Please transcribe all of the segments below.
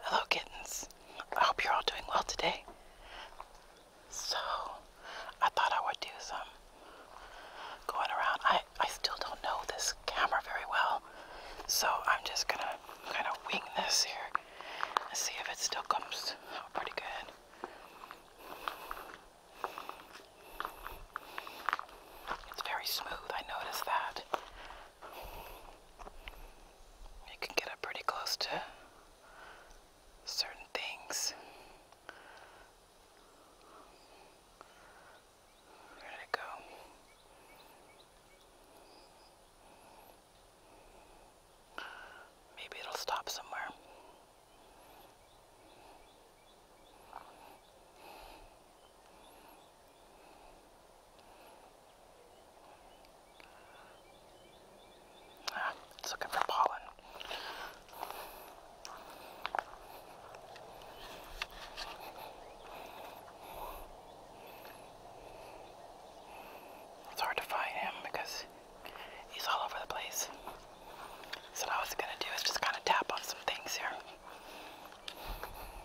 Hello, kittens. I hope you're all doing well today. So, I thought I would do some going around. I, I still don't know this camera very well, so I'm just gonna kind of wing this here and see if it still comes out pretty good. It's very smooth, I noticed that. You can get up pretty close to certain things. Where it go? Maybe it'll stop somewhere. Ah, it's looking for pollen. It's hard to find him because he's all over the place. So what I was gonna do is just kind of tap on some things here.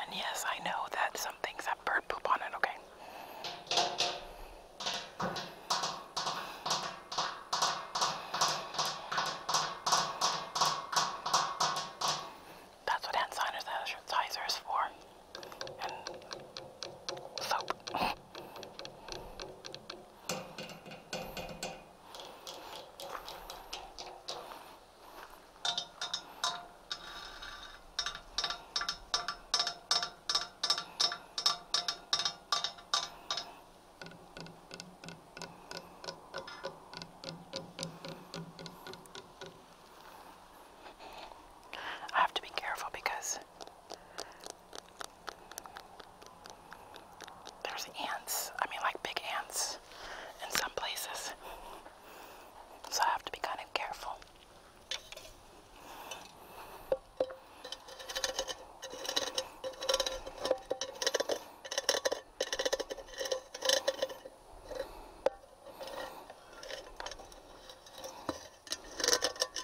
And yes, I know that some things have bird poop on it, okay? That's what hand sanitizer is for. And soap. I have to be careful because there's ants. I mean, like big ants in some places. So I have to be kind of careful.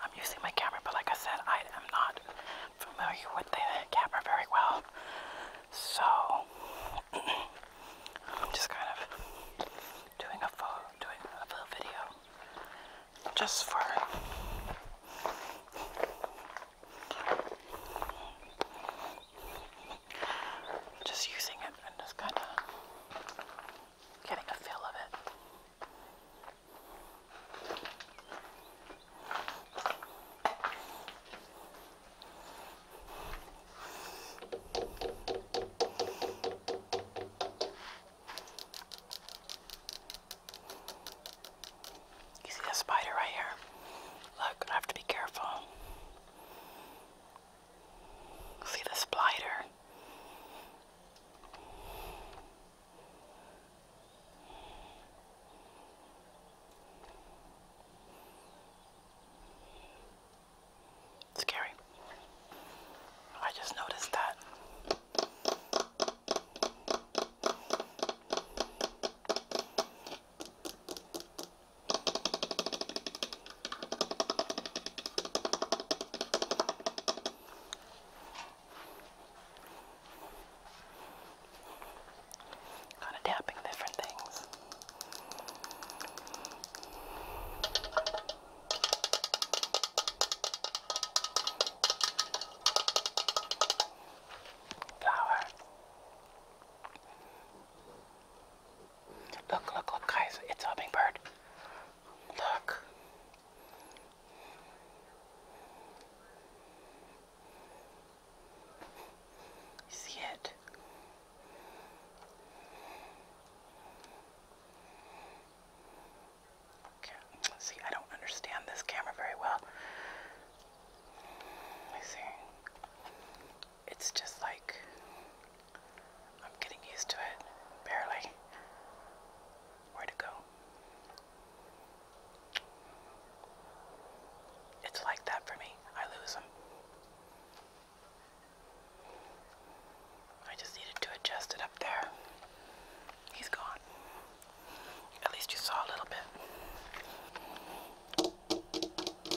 I'm using my camera, but like I said, I am not familiar with the camera very well. So, I'm just kind of doing a full video just for just using it and just kind of getting a feel of it. You see a spider right here? Look, I have to be careful. See the splider. Scary. I just noticed that. Kind of tapping different things. Flower. Look, look, look, guys, it's a hummingbird. Look. see it? Okay. See, I don't understand this camera very well. Let me see it's just like I'm getting used to it, barely. Where to go? It's like that for me. I lose them. I just needed to adjust it up there. He's gone. At least you saw a little bit.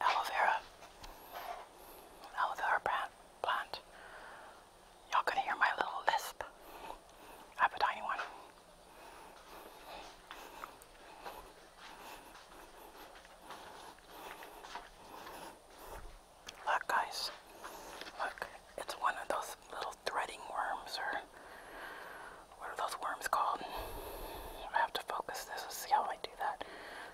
aloe vera, aloe vera plant. Y'all can hear my little lisp. I have a tiny one. Look, guys. Look, it's one of those little threading worms, or what are those worms called? I have to focus this and how I do that.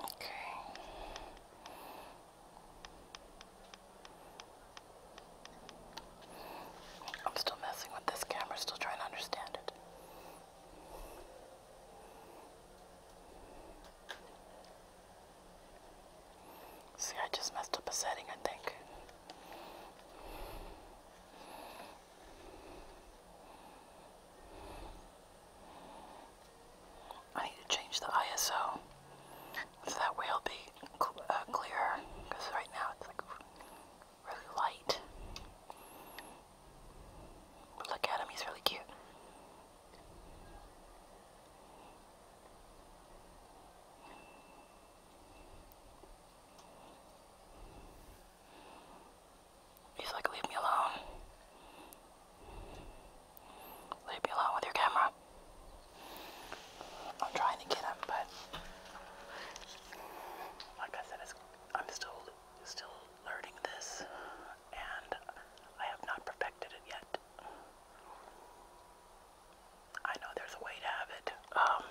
Okay. I'm still messing with this camera, still trying to understand it. See, I just messed up a setting, I think. I need to change the ISO so that way it'll be uh, clearer because right now it's like really light. look at him, he's really cute. He's like, leave me alone. Leave me alone with your camera. I'm trying to get him, but like I said, I'm still still learning this and I have not perfected it yet. I know there's a way to have it, um,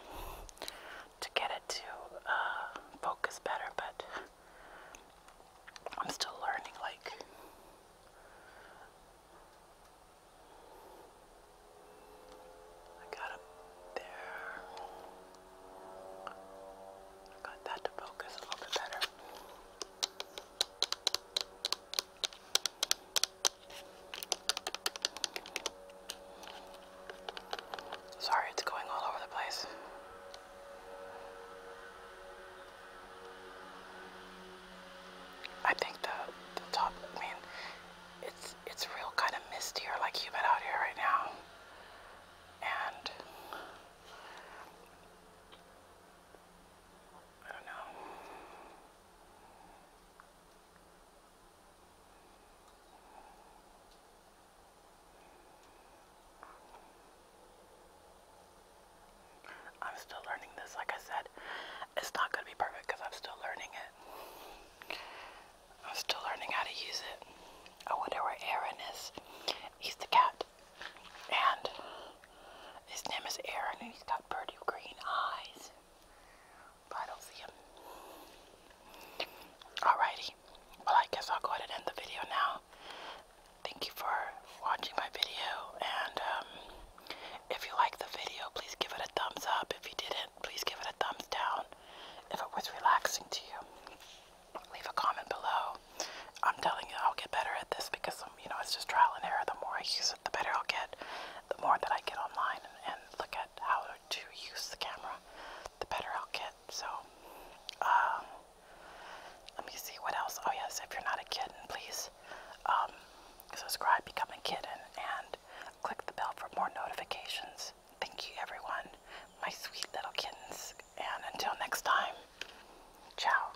to get it to uh, focus better, but I'm still learning, like, I got up there. got that to focus a little bit better. Sorry, it's going all over the place. I think the, top, I mean, it's, it's real kind of misty or like humid out here right now. And I don't know. I'm still learning this, like I said. It's not going to be perfect because I'm still learning it. I'm still learning how to use it. I wonder where Aaron is. He's the cat. And his name is Aaron, and he's got pretty green eyes. But I don't see him. Alrighty. Well, I guess I'll go ahead and end the video now. Thank you for watching my video. And um, if you like the video, please give it a thumbs up. If you didn't, please give it a thumbs down if it was relaxing to you leave a comment below. I'm telling you, I'll get better at this because, um, you know, it's just trial and error. The more I use it, the better I'll get. The more that I get online and, look at how to use the camera, the better I'll get. So, um, let me see what else. Oh, yes, if you're not a kitten, please um, subscribe, become a kitten, and, and click the bell for more notifications. Thank you, everyone, my sweet little kittens. And until next time, ciao.